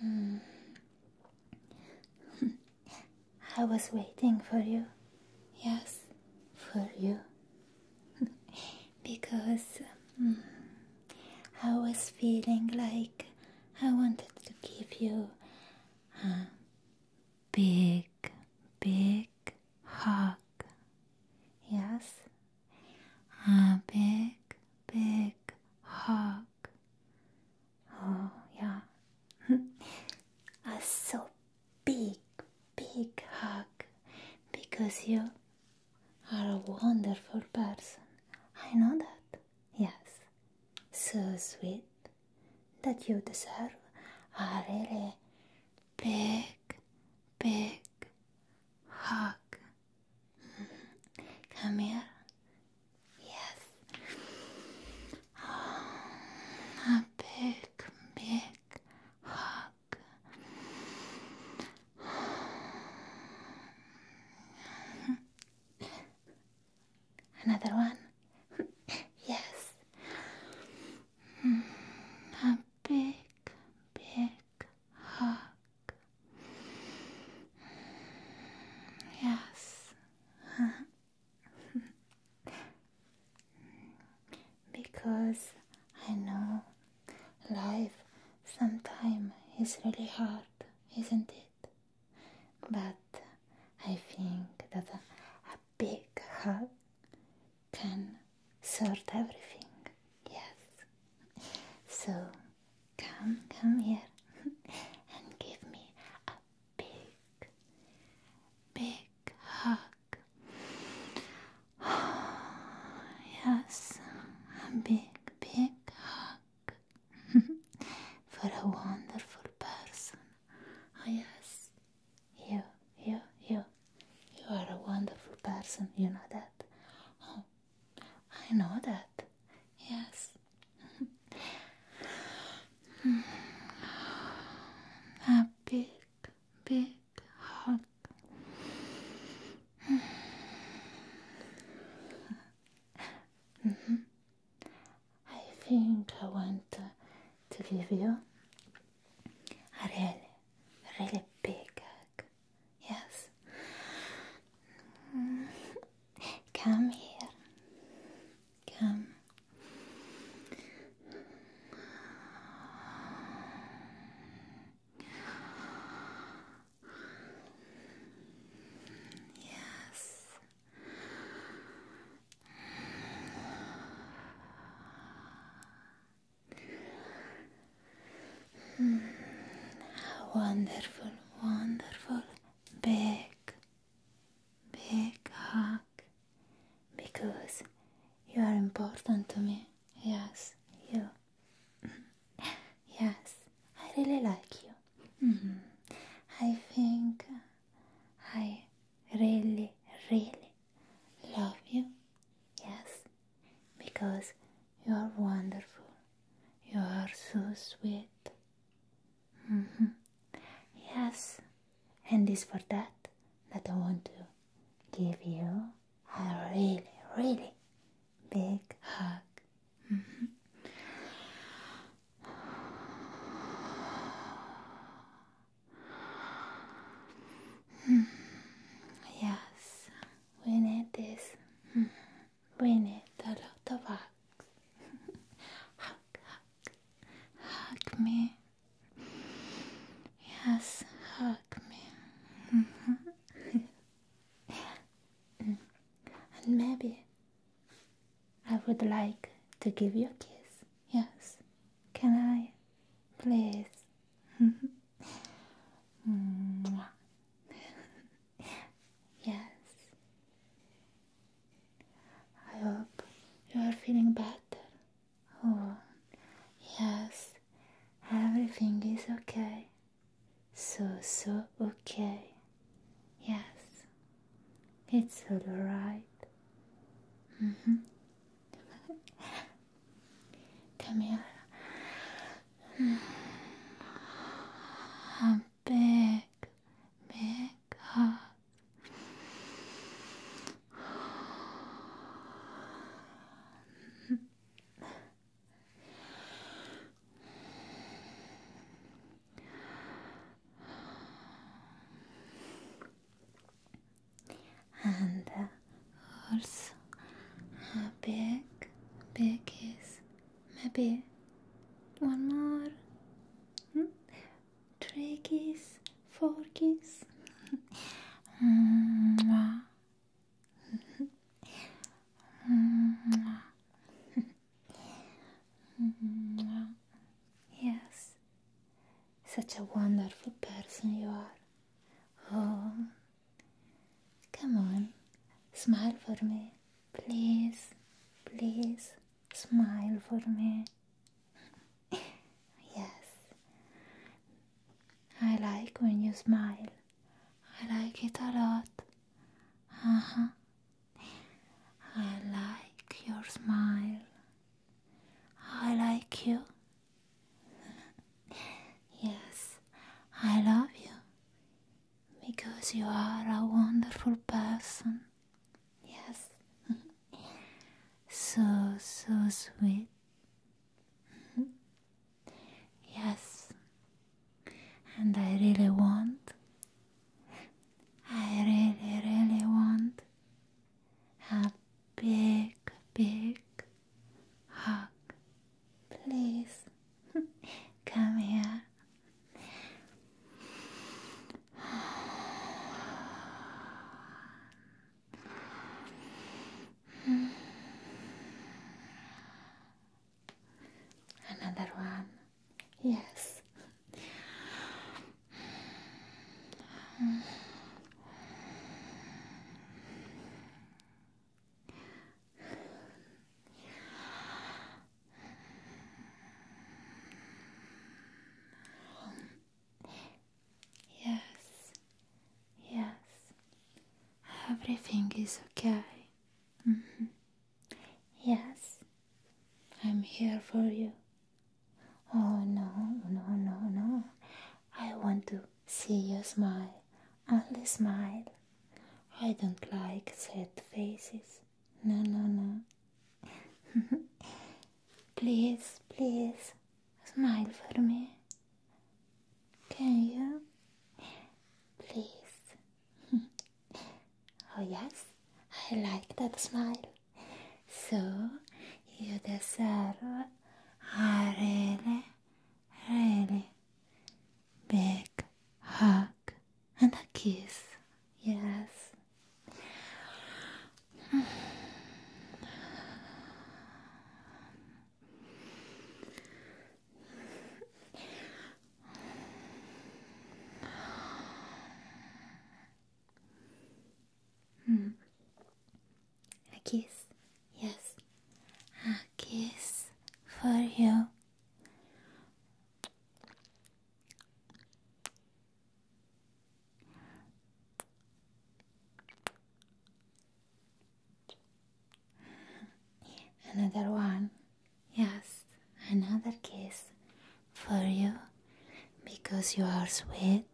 Hmm. I was waiting for you. Yes, for you. because um, I was feeling like I wanted to give you a big, big hug. Yes? A big, big hug. Oh, yeah. a so big, big hug because you are a wonderful person. I know that. Yes. So sweet that you deserve a really big, big hug. Come here. Yes. a big, big hug. Another one? yes big, big hug. Yes. because I know life sometimes is really hard, isn't it? But I think that a, a big hug can sort everything. Yes. So come, come here and give me a big, big hug. Oh, yes, a big, big hug for a wonderful person. Oh, yes. You, you, you. You are a wonderful person, you know that? Oh, I know that. Yes. a big, big hug. Mm-hmm. I think I want to give you a really really big Yes. Mm-hmm. Come here. Come. Yes. Hmm. wonderful, wonderful, big, big hug. Because you are important to me. Yes, you. yes, I really like you. Hmm. I think I really, really love you. Yes, because you are wonderful. You are so sweet. Mm-hmm. Yes, and it's for that that I want to give you a really, really big hug. Mm-hmm. Hmm. Yes, we need this. We need a lot of hugs. hug, hug, hug me. Yes, hug me. Hmm. And maybe I would like to give you a kiss. Yes, can I? Please. yes. I hope you are feeling better. Oh, yes, everything is okay. So, so okay. Yes, it's all right. -hmm. Come here. A big, big hug and uh, also a big, big kiss. Maybe one more, hmm? three kiss, four kiss. Mwah. Mwah. Mwah. yes, such a wonderful person you are. Oh, come on, smile for me. Please, please, smile for me. yes, I like when you smile. I like it a lot. Uh huh. I like your smile. I like you. yes, I love you. Because you are a wonderful person. Yes. so, so sweet. yes. And I really want. I really, really want a big, big hug. Please come here. Another one. Yes. Yes, yes, everything is okay. Mm-hmm. Yes, I'm here for you. Oh no, no, no, no. I want to see you smile. Only smile. I don't like sad faces. No, no, no. please, please, smile for me. Can you? Please. oh, yes, I like that smile. So you deserve a really, really big hug and a kiss. Yes. Hmm. A kiss. Yes. A kiss for you. Another one. Yes, another kiss for you because you are sweet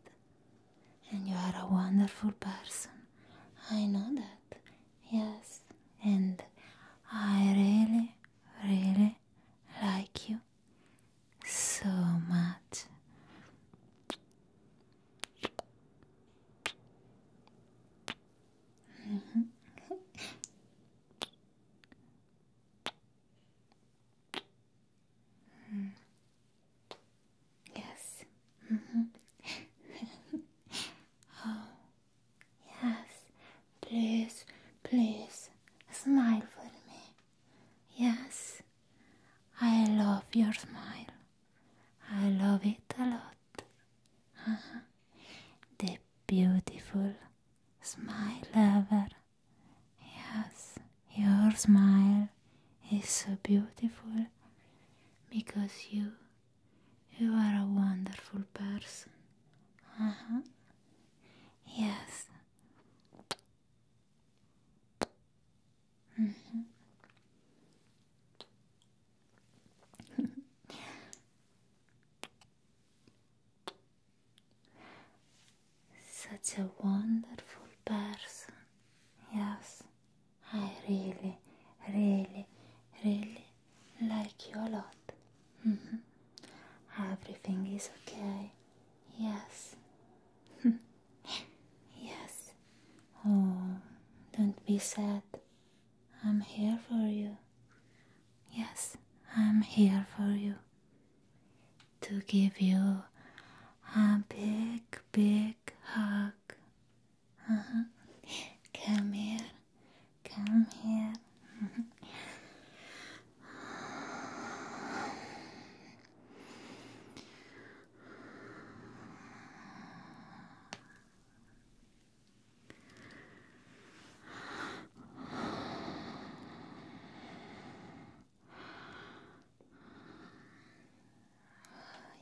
and you are a wonderful person. I know that, yes, and I really, really like you so much. Yes. Mm-hmm. oh, yes. Please, please smile for me. Yes, I love your smile. I love it a lot. Uh-huh. The beautiful smile ever. Yes, your smile is so beautiful because you you are a wonderful person. Uh-huh. Yes. Mm-hmm. Such a wonderful person. Yes, I really, really, really like you a lot. Mm-hmm. Everything is okay. Yes. yes. Oh, don't be sad. I'm here for you. Yes, I'm here for you to give you a big, big hug. Uh-huh. Come here, come here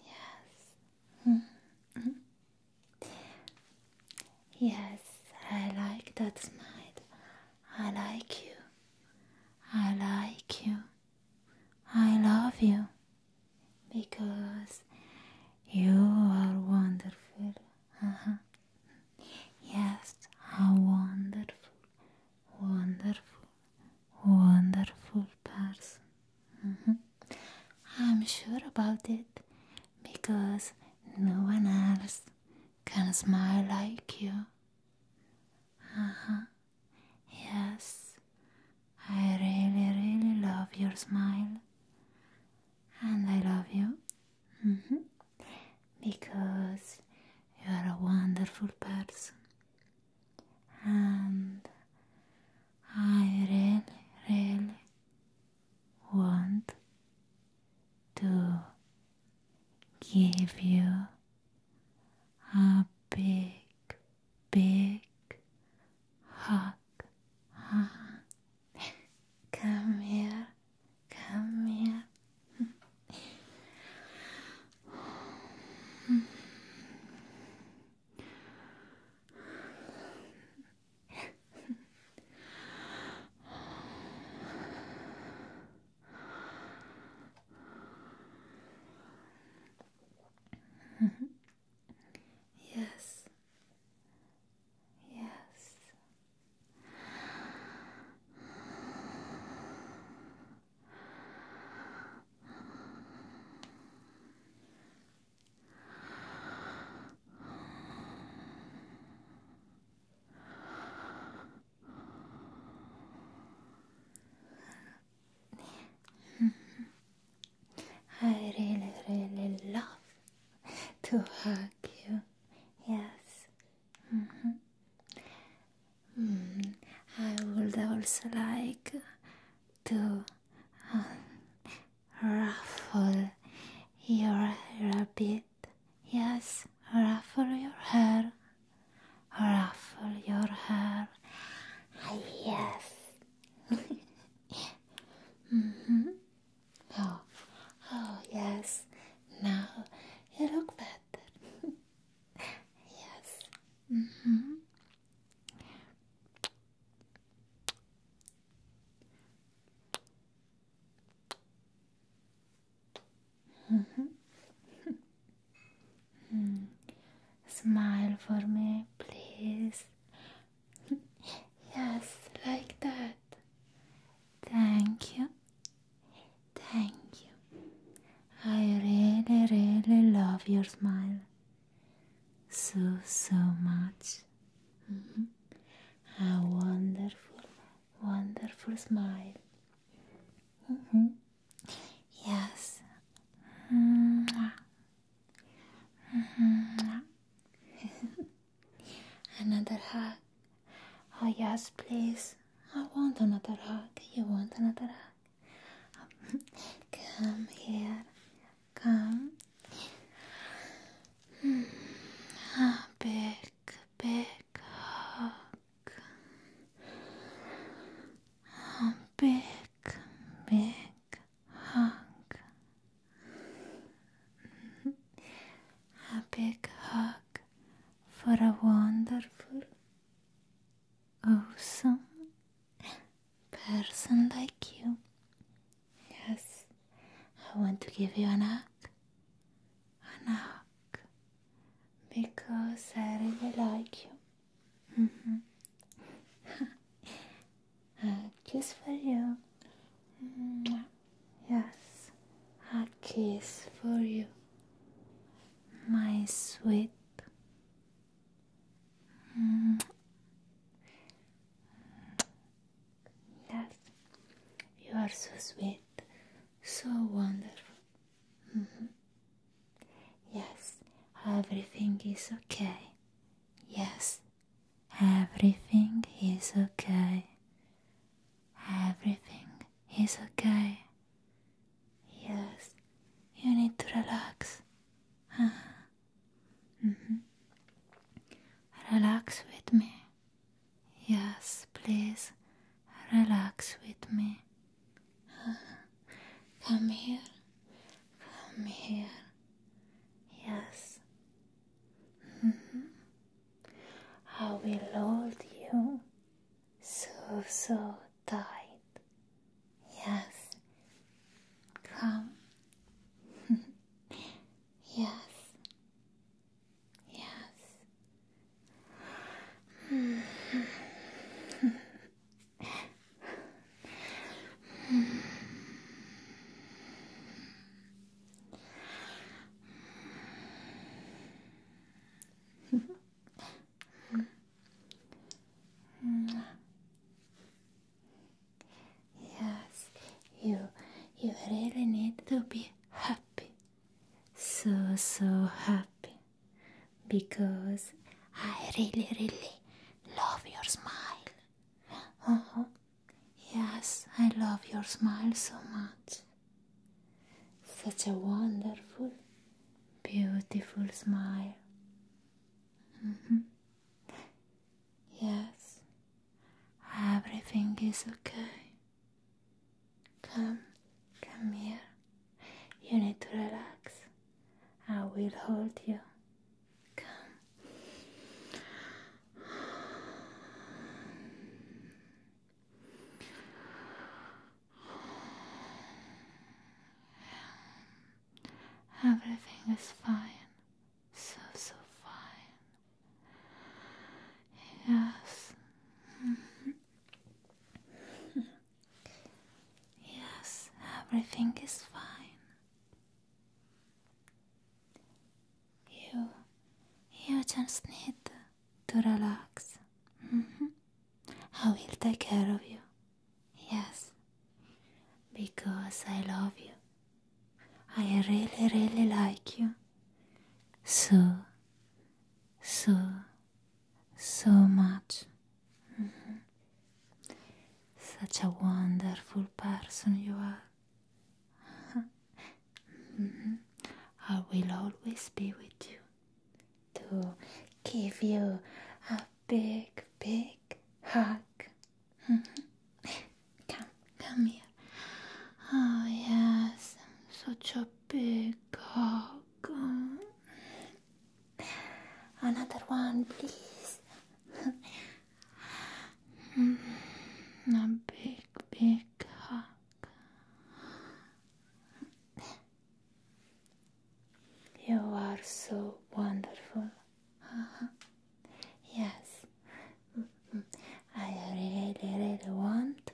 yes. Mm-hmm. yes, I like that smile. I like you. I like you. I love you because you are wonderful. Uh -huh. Yes, how wonderful, wonderful, wonderful person. Mm-hmm. I'm sure about it because no one else can smile like you. Uh huh. Yes, I really, really love your smile, and I love you Mm-hmm. Because you are a wonderful person, and I really, really want to give you a big, big hug. Come here. Come here. yes, Yes. I really, really love to hug you. Yes, -hmm. I would also like to um, ruffle your hair bit. Yes, ruffle your hair. Ruffle your hair. Yes. -hmm. Oh, oh yes, now you look better. yes. -hmm. -hmm. Smile for me, please. yes, like that. Thank you. Thank you. I really, really love your smile so, so much. Mm-hmm. A wonderful, wonderful smile. Mm-hmm. Yes. Mm-hmm. Another hug. Oh, yes, please. I want another hug. You want another hug? Come here. Come. Hmm. Ah, big, big hug. A ah, big, big hug a big hug for a wonderful, awesome person like you. Yes, I want to give you a hug. An hug. Because I really like you. Mm-hmm. a kiss uh, for you. Yes, a kiss for you, my sweet. Mm. Yes, you are so sweet, so wonderful. Mm-hmm. Yes, everything is okay. Yes, Everything is okay. Everything is okay. Yes, you need to relax. -huh. -hmm. Relax with me. Yes, please. Relax with me. Uh-huh. Come here. Come here. Yes. -hmm. I will hold you so, so tight. Yes, come. yes, yes yes, you you really need to be happy, so so happy, because I really really love your smile. Uh-huh. Yes, I love your smile so much. Such a wonderful, beautiful smile. Mm-hmm. Yes, everything is okay. Come, come here. You need to relax. I will hold you. Come. Everything is fine, so so fine. Yes. yes, everything is fine. You, you just need to relax. Mm-hmm. I will take care of you. Yes, because I love you. I really, really like you. So, so, so much. Mm-hmm. Such a wonderful person you are. Mm-hmm. I will always be with you to give you a big, big hug. Mm-hmm. Come, come here. Oh, yes, such a big hug. Mm-hmm. Another one, please. Hmm. A big, big hug. You are so wonderful. Uh-huh. Yes, I really, really want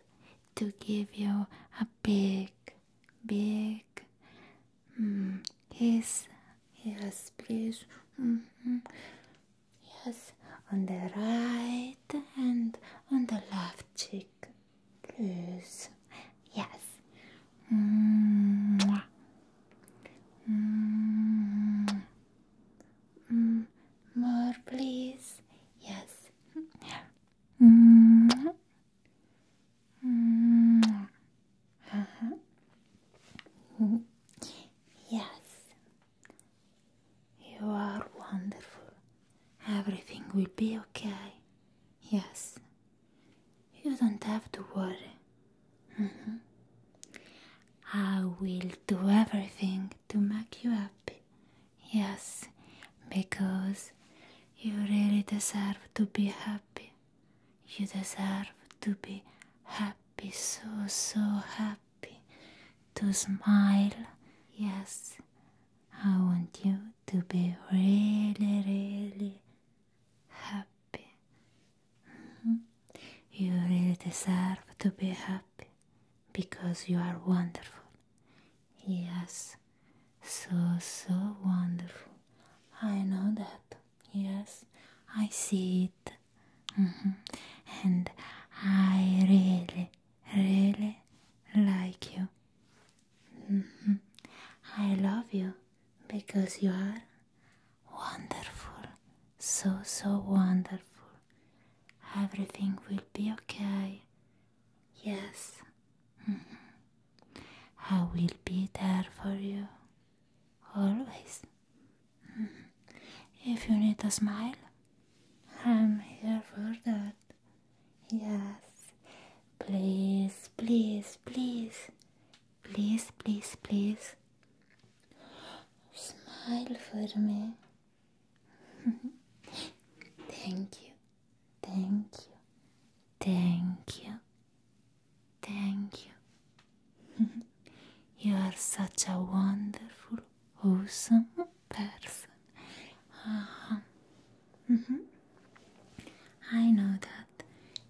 to give you a big, big hmm, kiss. Yes, please. Mm-hmm. Yes, on the right and on the left cheek. Please. Yes. Mm, more, please. Yes. Uh-huh. Yes, you are wonderful. Everything will be okay. Yes, you don't have to worry. Mm -hmm. I will do everything to make you happy. Yes, because you really deserve to be happy. You deserve to be happy, so, so happy. To smile. Yes, I want you to be really, really happy. Mm-hmm. You really deserve to be happy because you are wonderful. Yes, so, so wonderful. I know that. Yes, I see it. Mm-hmm. And I really, really like you. Mm-hmm. I love you because you are wonderful. So, so wonderful. Everything will be okay. Yes. Mm-hmm. I will be there for you always. If you need a smile, I'm here for that. Yes, please, please, please, please, please, please. Smile for me. thank you, thank you, thank you. Thank you. you are such a wonderful, awesome person. Uh -huh. mm -hmm. I know that.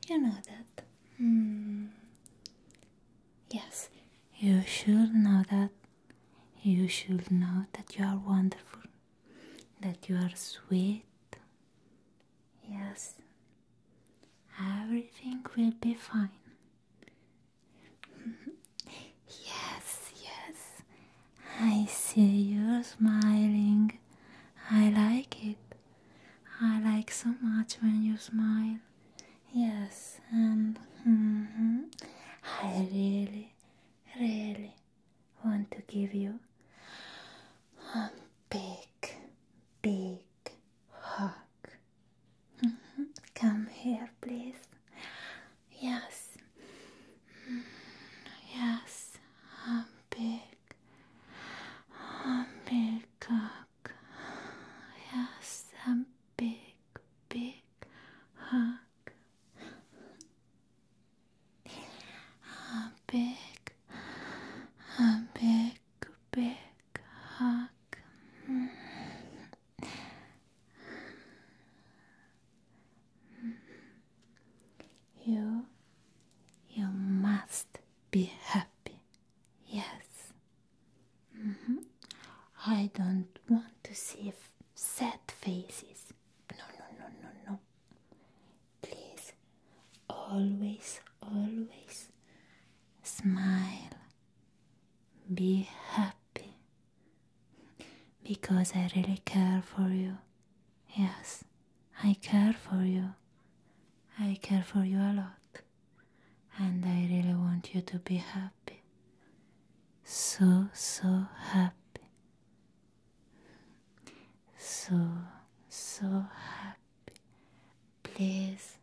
You know that. Hmm. Yes, you should know that. You should know that you are wonderful, that you are sweet. Yes, Everything will be fine. yes, yes, I see you're smiling. I like it. I like so much when you smile. Yes, and mm-hmm. I really, really want to give you a big, big hug. Mm-hmm. Come here, please. Yes, mm-hmm. yes, I'm big, a big hug. Yes, I'm big, big hug. A big, a big a big hug. You, you must be happy. Yes. Mm-hmm. I don't want to see sad faces. No, no, no, no, no. Please always, always smile, be happy because I really care for you. Yes, I care for you. I care for you a lot, and I really want you to be happy. So, so happy. So, so happy. Please,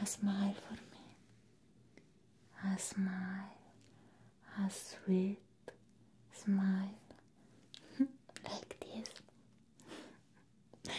a smile for me. A smile, a sweet smile. like this.